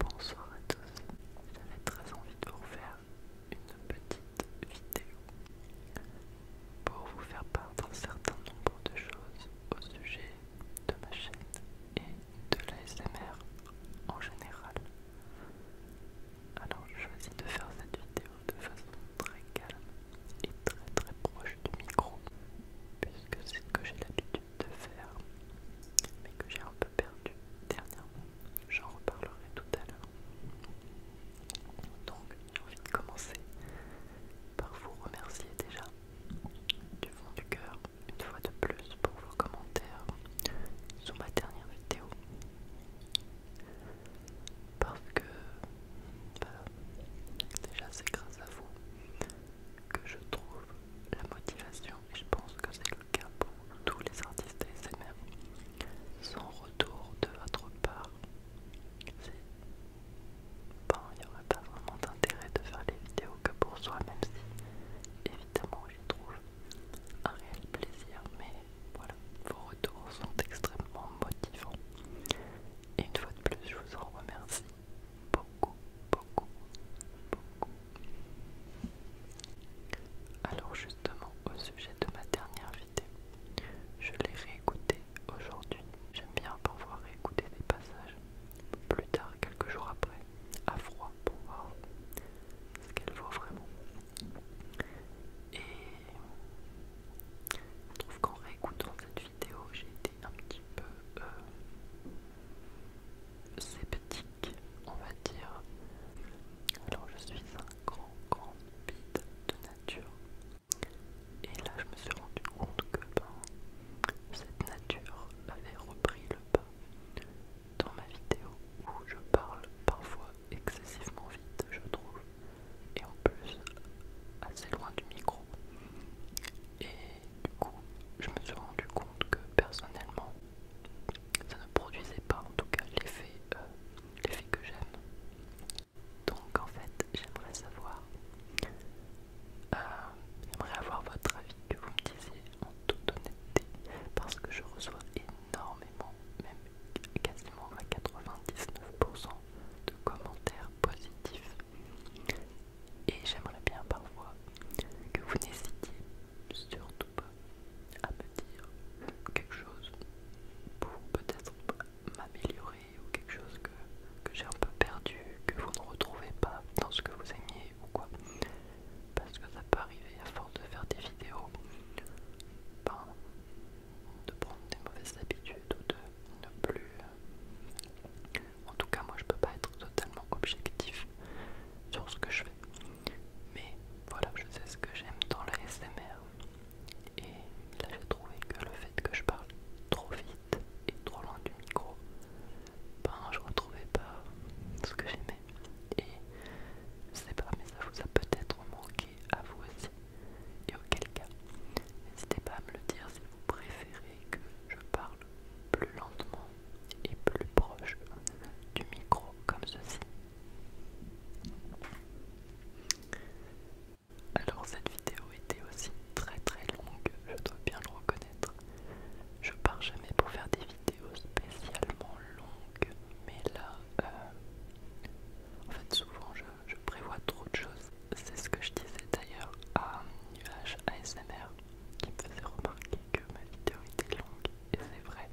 Bonsoir à tous, j'avais très envie de vous faire une petite vidéo pour vous faire part d'un certain nombre de choses au sujet de ma chaîne et de l'ASMR en général. Alors je choisis de faire cette vidéo de façon très calme et très très proche du micro puisque c'est ce que j'ai l'habitude de faire, mais que j'ai un peu perdu dernièrement. J'en reparlerai tout à l'heure. Donc, j'ai envie de commencer par vous remercier déjà du fond du cœur, une fois de plus, pour vos commentaires sous ma dernière vidéo. Parce que, bah, déjà, c'est grâce à vous que je trouve la motivation je pense que c'est le cas pour tous les artistes même Sans retour de votre part, il n'y aurait pas vraiment d'intérêt de faire les vidéos que pour soi, même si évidemment j'y trouve un réel plaisir, mais voilà, vos retours sont extrêmement motivants. Et une fois de plus, je vous en remercie beaucoup, beaucoup, beaucoup. Alors justement, au sujet de ma dernière vidéo, je l'ai réécoutée aujourd'hui. J'aime bien pouvoir réécouter des passages plus tard, quelques jours après, à froid, pour voir ce qu'elle vaut vraiment. Et je trouve qu'en réécoutant cette vidéo, j'ai été un petit peu... Euh, sceptique, on va dire. Alors je suis un grand, grand bide de nature. Et là je me suis rendu compte que ben, cette nature avait repris le pas dans ma vidéo où je parle parfois excessivement vite, je trouve, et en plus assez loin du micro. Et du coup, je me suis rendu compte que personnellement, ça ne produisait pas en tout cas l'effet euh, que j'aime. Donc en fait, j'aimerais savoir, euh, j'aimerais avoir votre avis, que vous me disiez en toute honnêteté, parce que je reçois énormément, même quasiment à 99% de commentaires positifs et j'aimerais bien parfois que vous n'hésitiez surtout pas à me dire quelque chose pour peut-être m'améliorer ou quelque chose que, j'ai un peu perdu, que vous ne retrouvez pas dans ce que vous aimiez ou quoi. Parce que ça peut arriver à force de faire des vidéos, ben, de prendre des mauvaises habitudes ou de ne plus en tout cas, moi je peux pas être totalement objectif sur ce que je fais. Mais voilà, je sais ce que j'aime dans le SMR. Et là j'ai trouvé que le fait que je parle trop vite et trop loin du micro, ben je retrouvais pas ce que j'aimais. Et je sais pas, mais ça vous a peut-être manqué à vous aussi. Et auquel cas, n'hésitez pas à me le dire si vous préférez que je parle plus lentement et plus proche du micro comme ceci. Alors cette vidéo était aussi très très longue, je dois bien le reconnaître. Je pars jamais pour faire des vidéos spécialement longues, mais là, euh, en fait souvent je, je prévois trop de choses. C'est ce que je disais d'ailleurs à Nuage ASMR qui me faisait remarquer que ma vidéo était longue, et c'est vrai.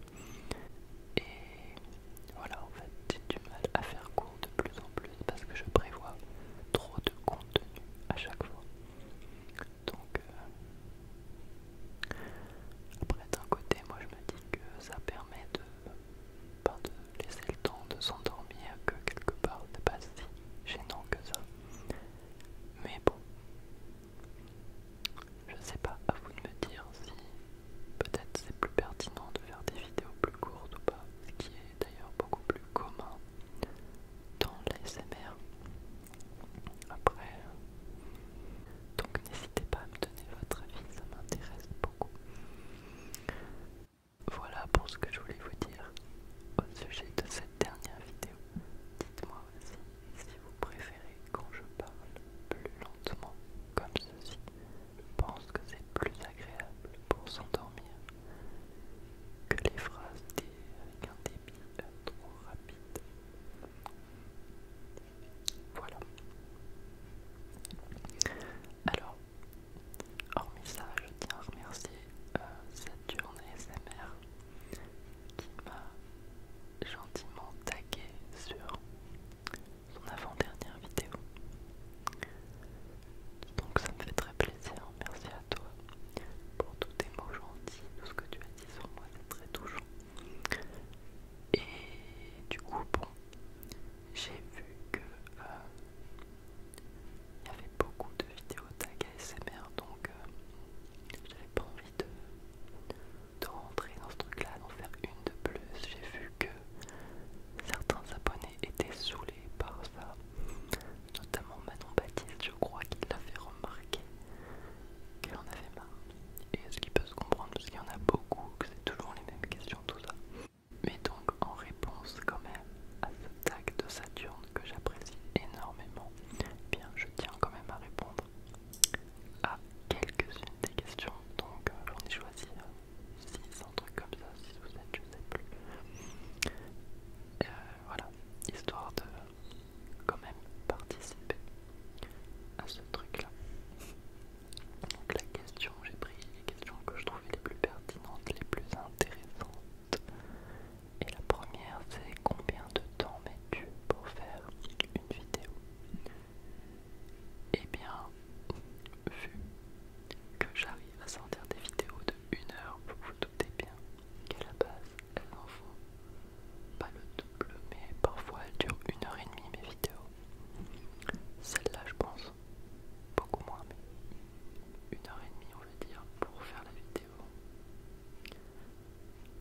Et voilà, en fait, j'ai du mal à faire court de plus en plus parce que je prévois trop de contenu à chaque fois. Donc, euh, après, d'un côté, moi je me dis que ça permet de, ben, laisser le temps de s'endormir, que quelque part, n'est pas si gênant que ça. Mais bon, je sais pas, à vous de me dire si peut-être c'est plus pertinent de faire des vidéos plus courtes ou pas, ce qui est d'ailleurs beaucoup plus commun dans l'ASMR. Après, donc n'hésitez pas à me donner votre avis, ça m'intéresse beaucoup. Voilà pour ce que je voulais vous dire au sujet de cette dernière vidéo. Dites-moi aussi si vous préférez quand je parle plus lentement comme ceci. Je pense que c'est plus agréable pour s'endormir que les phrases avec un débit trop rapide. Voilà. Alors, hormis ça, je tiens à remercier euh, cette journée SMR qui m'a gentiment tagué sur son avant-dernière vidéo. Donc ça me fait très plaisir, merci à toi pour tous tes mots gentils, tout ce que tu as dit sur moi, c'est très touchant. Et du coup, bon, j'ai vu que euh, il y avait beaucoup de vidéos tag ASMR donc je euh, j'avais pas envie de, rentrer dans ce truc là, d'en faire une de plus. J'ai vu que certains abonnés étaient saoulés par ça, notamment Manon Baptiste, je crois qu'il l'a fait remarquer qu'elle en avait marre. Et ce qui peut se comprendre, parce qu'il y en a beaucoup, que c'est toujours les mêmes questions, tout ça. Mais donc, en réponse quand même à ce tag de Saturne, que j'apprécie énormément. Bien, je tiens quand même à répondre à quelques-unes des questions. Donc, euh, j'en ai choisi 6, euh, truc comme ça, Si vous êtes, je sais plus. Euh, voilà, histoire de quand même participer à ce truc-là. Donc la question, j'ai pris les questions que je trouvais les plus pertinentes, les plus intéressantes, et la première, c'est combien de temps mets-tu pour faire une vidéo Eh bien, vu que j'arrive à sortir des vidéos de 1 heure, vous vous doutez bien qu'à la base, elles en font pas le double, mais parfois elle dure 1 heure et demie mes vidéos. Celle-là, je pense, beaucoup moins, mais 1 heure et demie, on veut dire, pour faire la vidéo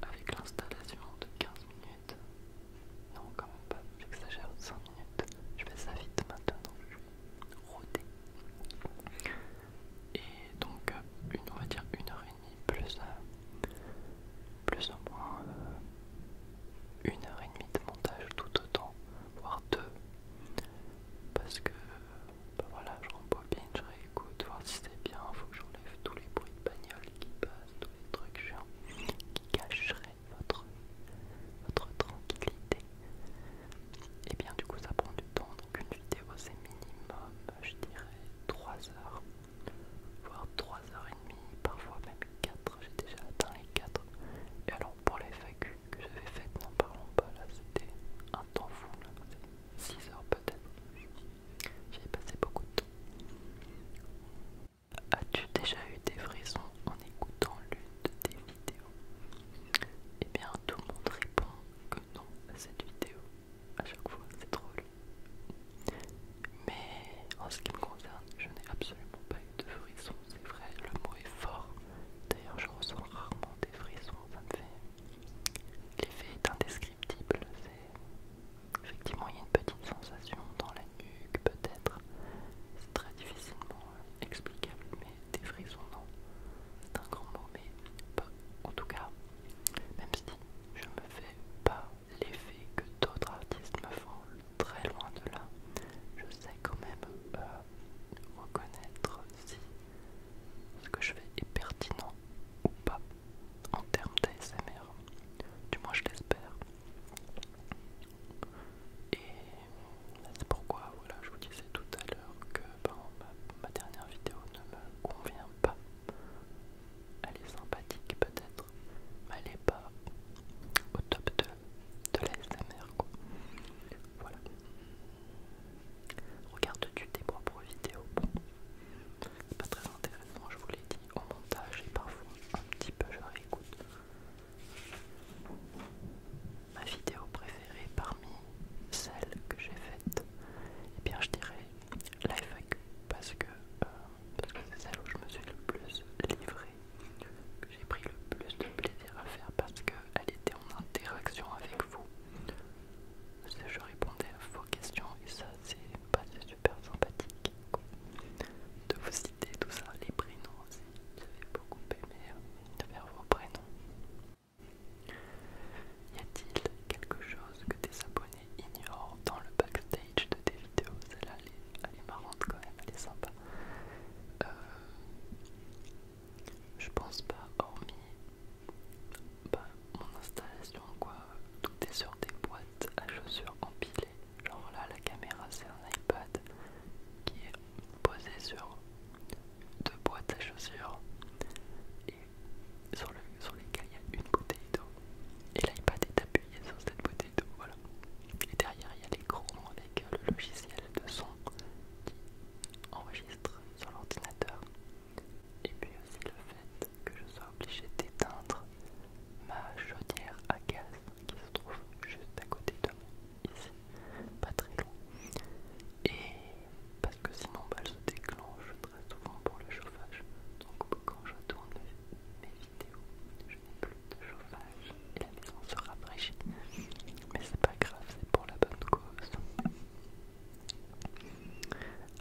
avec l'installation de 15 minutes. Non, quand même pas, j'exagère, 5 minutes. Je fais ça vite maintenant, je suis rodé. Et donc, euh, une, on va dire 1 heure et plus, euh, plus ou moins euh, une heure et demie de montage tout autant, voire deux, Parce que bah voilà, je bien je réécoute, voir si c'est bien, faut que j'enlève tous les bruits de bagnole qui passent, tous les trucs chiants qui cacheraient votre, votre tranquillité. Et eh bien du coup ça prend du temps, donc une vidéo c'est minimum, je dirais 3 heures, voire 3 h et parfois même 4, j'ai déjà atteint les 4. Et alors pour les FAQ que j'avais faites, n'en parlons pas, là c'était un temps fou, 6 heures peut-être. J'ai passé beaucoup de temps. As-tu déjà eu des frissons en écoutant l'une de tes vidéos Eh bien, tout le monde répond que non à cette vidéo. À chaque fois, c'est drôle. Mais en ce qui me concerne, je n'ai absolument pas eu de frissons. C'est vrai, le mot est fort. D'ailleurs, je ressens rarement des frissons. Ça me fait L'effet est indescriptible, c'est... Effectivement, il y a une petite sensation dans la nuque, peut-être. C'est très difficilement euh, explicable, mais des frissons, non. C'est un grand mot, mais En tout cas, même si je me fais pas l'effet que d'autres artistes me font, très loin de là, je sais quand même euh, reconnaître si ce que je fais est pertinent ou pas en termes d'ASMR. Du moins je l'espère. Et c'est pourquoi voilà, je vous disais tout à l'heure que ben, ma, dernière vidéo ne me convient pas. Elle est sympathique peut-être, mais elle n'est pas au top de, de l'ASMR. Voilà. « tu tes propres vidéos Bon, c'est pas très intéressant, je vous l'ai dit, au montage et parfois un petit peu je réécoute. Ma vidéo préférée parmi celles que j'ai faites, eh bien je dirais live, euh, parce que c'est celle où je me suis le plus livrée, que j'ai pris le plus de plaisir à faire parce qu'elle était en interaction avec vous. Je répondais à vos questions et ça c'est pas super sympathique de vous citer tout ça, les prénoms aussi. fait beaucoup aimé euh, de faire vos prénoms. Y a-t-il quelque chose que tes abonnés ignorent dans le backstage de tes vidéos Celle-là, elle, est marrante quand même, elle est sympa. Euh, je pense pas, hormis bah, mon installation, quoi. Tout est sur des boîtes à chaussures empilées. Genre là, la caméra, c'est un iPad qui est posé sur deux boîtes à chaussures et sur, le, sur lesquelles il y a une bouteille d'eau. Et l'iPad est appuyé sur cette bouteille d'eau, voilà. Et derrière, il y a l'écran avec le logiciel de son qui enregistre sur l'ordinateur. Et puis aussi le fait que je sois obligé d'éteindre ma chaudière à gaz qui se trouve juste à côté de moi, ici, pas très loin. Et parce que sinon elle bah, se déclenche très souvent pour le chauffage. Donc quand je tourne mes vidéos, je n'ai plus de chauffage et la maison se rafraîchit, Mais c'est pas grave, c'est pour la bonne cause.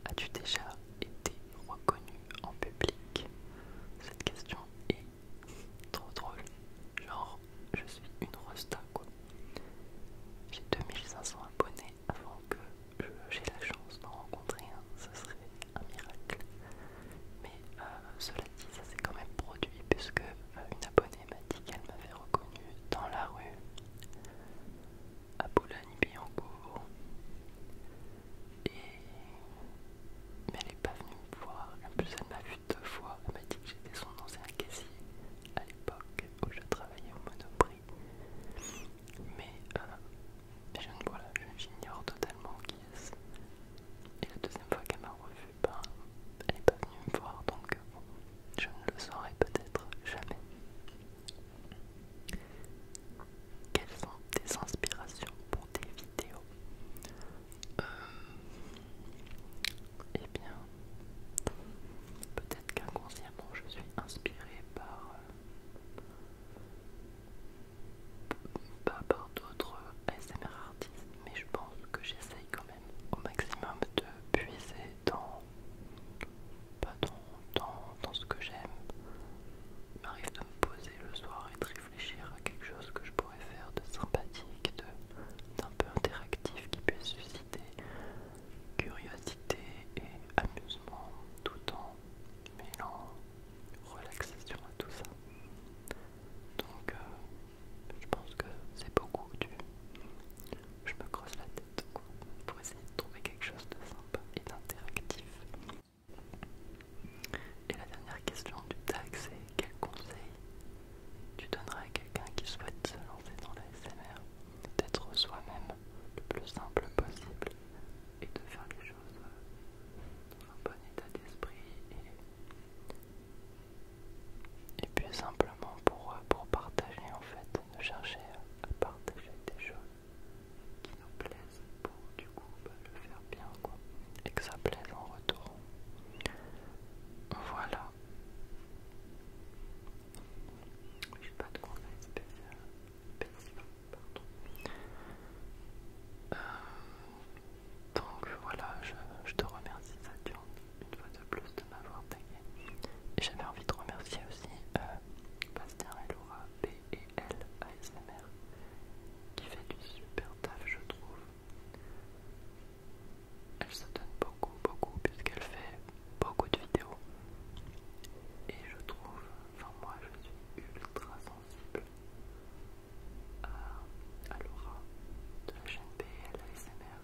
As-tu déjà été reconnu en public Cette question est trop drôle. Genre, je suis une rosta quoi. J'ai 2500 abonnés avant que j'ai la chance d'en rencontrer un, ce serait un miracle. Mais euh, cela dit, ça s'est quand même produit puisque euh, une abonnée elle m'a dit qu'elle m'avait reconnue dans la rue, à Boulogne-Billancourt. Et... Mais elle n'est pas venue me voir. En plus, elle m'a vu deux fois. Elle m'a dit que j'étais son ancien caissier à l'époque où je travaillais au Monoprix. Mais euh, je ne voilà, j'ignore totalement qui est. Et la deuxième fois qu'elle m'a revue, ben, elle n'est pas venue me voir. Donc, je ne le saurai peut-être jamais. Quelles sont tes inspirations pour tes vidéos euh, eh bien, peut-être qu'inconsciemment je suis inspirée par, euh, par d'autres SMR artistes, mais je pense que j'essaye quand au maximum de puiser dans, pas dans, ce que j'aime. Il m'arrive de me poser le soir et de réfléchir à quelque chose que je pourrais faire de sympathique, d'un peu interactif qui puisse susciter curiosité et amusement tout en mêlant relaxation à tout ça. Donc euh, je pense que c'est beaucoup du, je me crosse la tête pour essayer de trouver quelque chose de sympa et d'interactif. Et la dernière question du tag, c'est quel conseil tu donneras à quelqu'un qui souhaite se lancer dans la SMR D'être soi-même le plus simple possible et de faire les choses dans un bon état d'esprit et et puis simplement pour, euh, pour partager en fait, de chercher à partager des choses qui nous plaisent pour du coup bah, le faire bien quoi et que ça plaise en retour. Voilà. J'ai pas de pardon. Euh, donc voilà, je, te remercie Saturne une fois de plus de m'avoir et j'avais envie de remercier aussi Bastien euh, et Laura B et L ASMR qui fait du super taf je trouve. Elle se donne beaucoup beaucoup puisqu'elle fait beaucoup de vidéos. Et je trouve, enfin moi je suis ultra sensible à, Laura de la chaîne BL ASMR.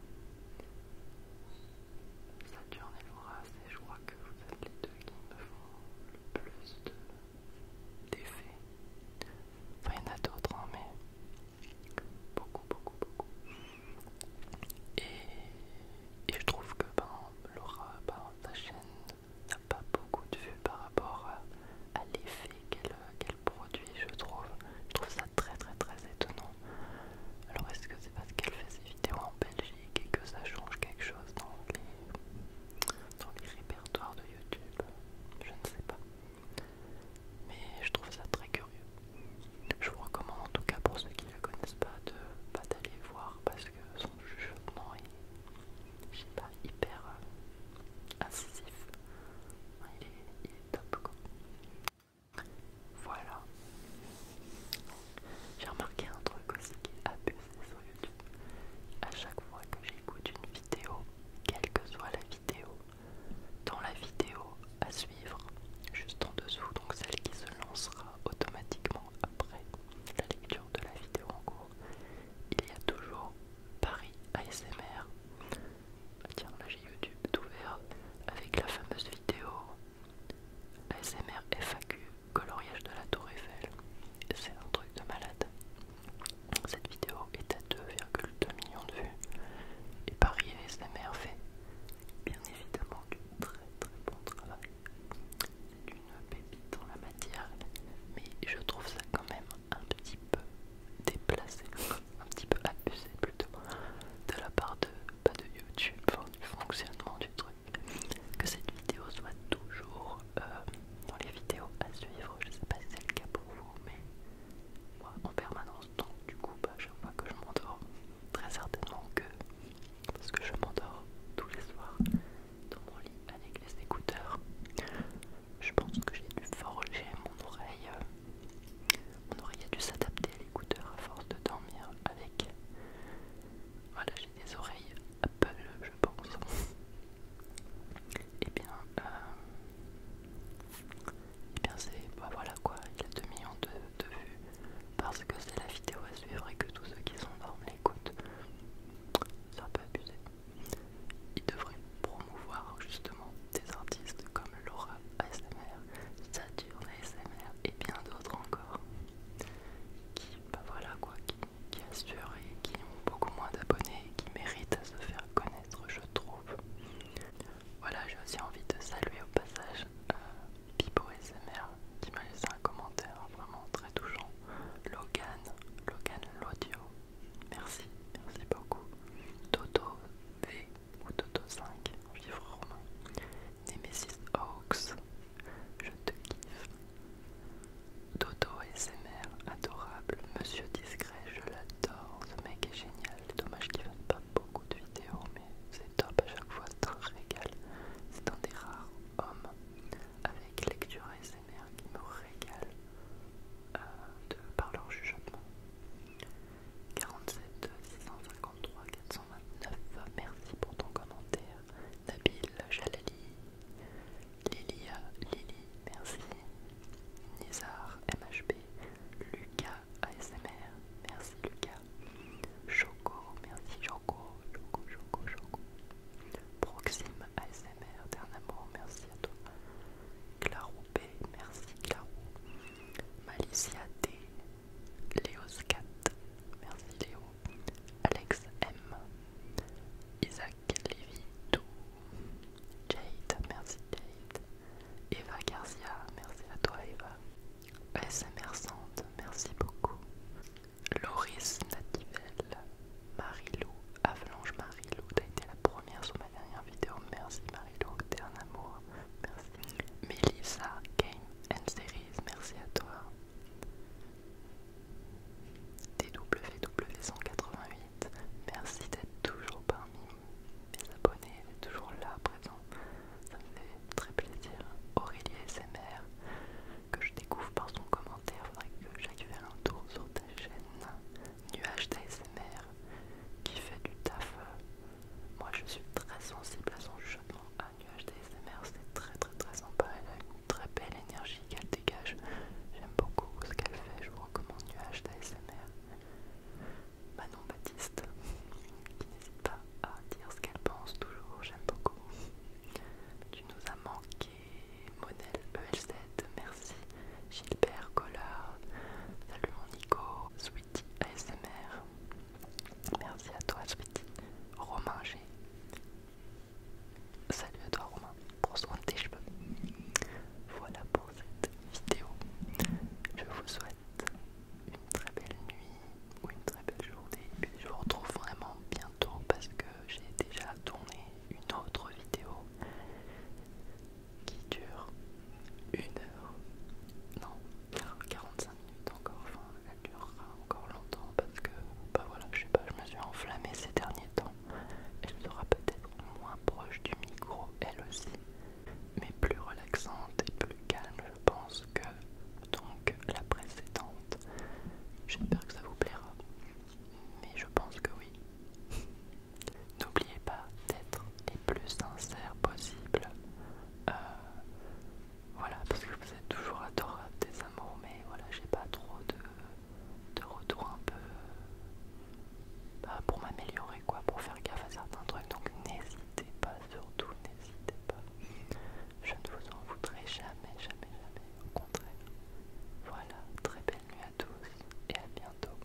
Saturne et Laura, c'est je crois que vous êtes les deux qui me font le plus d'effets. Enfin, il y en a d'autres, hein, mais beaucoup, beaucoup, beaucoup. Et, je trouve que ben, Laura, sa ben, chaîne n'a pas beaucoup de vues par rapport à, l'effet qu'elle produit, je trouve très très très étonnant. Alors est-ce que c'est parce qu'elle fait ses vidéos en Belgique et que ça change quelque chose dans les, répertoires de YouTube Je ne sais pas. Mais je trouve ça très curieux. Je vous recommande en tout cas pour ceux qui ne le connaissent pas de pas d'aller voir parce que son jugement est, pas, hyper euh, incisif. il est top quoi. Voilà. J'ai remarqué un truc aussi qui est abusé sur YouTube. À chaque fois que j'écoute une vidéo, quelle que soit la vidéo, dans la vidéo à suivre, juste en dessous, donc celle qui se lancera automatiquement après la lecture de la vidéo en cours, il y a toujours Paris ASMR ah, tiens, là j'ai YouTube d'ouvert avec la fameuse vidéo ASMR FAQ coloriage de la tour Eiffel. C'est un truc de malade. Cette vidéo est à 2,2 millions de vues. Et Paris ASMR fait bien évidemment du très très bon travail. d'une une dans la matière, mais je trouve ça quand même un petit peu déplacé un petit peu abusé plutôt de la part de, pas de YouTube, enfin, du fonctionnement du truc. Que cette vidéo soit toujours euh, dans les vidéos à suivre. Je sais pas si c'est le cas pour vous, mais moi en permanence, donc du coup, bah, chaque fois que je m'endors, très certainement que parce que je m'endors tous les soirs dans mon lit avec les écouteurs. Je pense que j'ai dû forger mon oreille euh, on aurait dû s'adapter à l'écouteur à force de dormir avec. Voilà, j'ai des oreilles Apple, je pense. Et eh bien, euh, eh bien c'est. Bah, voilà quoi, il a 2 millions de, vues parce que c'est la vidéo à suivre et que tous ceux qui sont l'écoutent. l'écoute, ça peu abusé. Il devrait promouvoir justement des artistes comme Laura ASMR, Saturne ASMR et bien d'autres encore qui, bah voilà quoi, qui, assurent et qui ont beaucoup moins d'abonnés qui méritent à se faire connaître, je trouve. Voilà, j'ai aussi envie de saluer au passage euh, Pipo ASMR qui m'a laissé un commentaire vraiment très touchant. Logan, Logan Lodio, merci, merci beaucoup. Toto V, ou Toto 5, vivre romain, Nemesis Hawks, je te kiffe, Dodo SMR, adorable, Monsieur Discret, je l'adore, ce mec est génial, dommage qu'il fasse pas beaucoup de vidéos, mais c'est top à chaque fois, ça un régal, c'est un des rares hommes avec lecture ASMR qui me régale euh, par leur jugement. 47 653 429 merci pour ton commentaire Nabil Jalali Lilia Lily merci Nizar MHB Lucas ASMR merci Lucas Choco merci Choco Choco Choco Choco Proxime ASMR Dernier merci à toi Claro merci Clara. Malicia D, Léo Scat merci Léo. Alex M, Isaac Lévy tout Jade, merci Jade. Eva Garcia, merci à toi Eva. SMR Sand, merci beaucoup. Loris Nativelle, Marilou, Avalanche Marilou, t'as été la première sur ma dernière vidéo, merci Marilou, t'es un amour. Merci. Melissa Game and Series, merci à toi. tww 188 merci d'être toujours parmi mes abonnés, toujours là présent. Ça me fait très plaisir. Aurélie SMR, que je découvre par son commentaire, faudrait que j'aille faire un tour sur ta chaîne. Nuage SMR, qui fait du taf. Euh, moi je suis très sensible à son jugement à nuage d'ASMR, c'est très très très sympa, elle a une très belle énergie qu'elle dégage. J'aime beaucoup ce qu'elle fait, je vous recommande nuage d'ASMR. Manon Baptiste, qui n'hésite pas à dire ce qu'elle pense toujours, j'aime beaucoup. Tu nous as manqué, Monel ELZ, merci. Gilbert Collard, salut mon Nico, ASMR. Merci à toi, suite Romain G. Salut à toi, Romain, pour soin de tes cheveux. Voilà pour cette vidéo. Je vous souhaite une très belle nuit ou une très belle journée. je vous retrouve vraiment bientôt parce que j'ai déjà tourné une autre vidéo qui dure une heure, non, 45 minutes encore, enfin elle durera encore longtemps parce que, bah voilà, je sais pas, je me suis enflammée ces derniers temps. Elle sera peut-être moins proche du micro, elle aussi, mais plus relaxante et plus calme, je pense, que donc la précédente. J'espère que ça vous plaira, mais je pense que oui. N'oubliez pas d'être les plus sincères possible. Euh, voilà, parce que vous êtes toujours adorables des amours, mais voilà, j'ai pas trop de, de retour un peu euh, bah, pour m'améliorer, quoi, pour faire gaffe à certains trucs. Donc n'hésitez pas, surtout n'hésitez pas. Je ne vous en voudrai jamais, jamais, jamais. Au contraire. Voilà, très belle nuit à tous et à bientôt.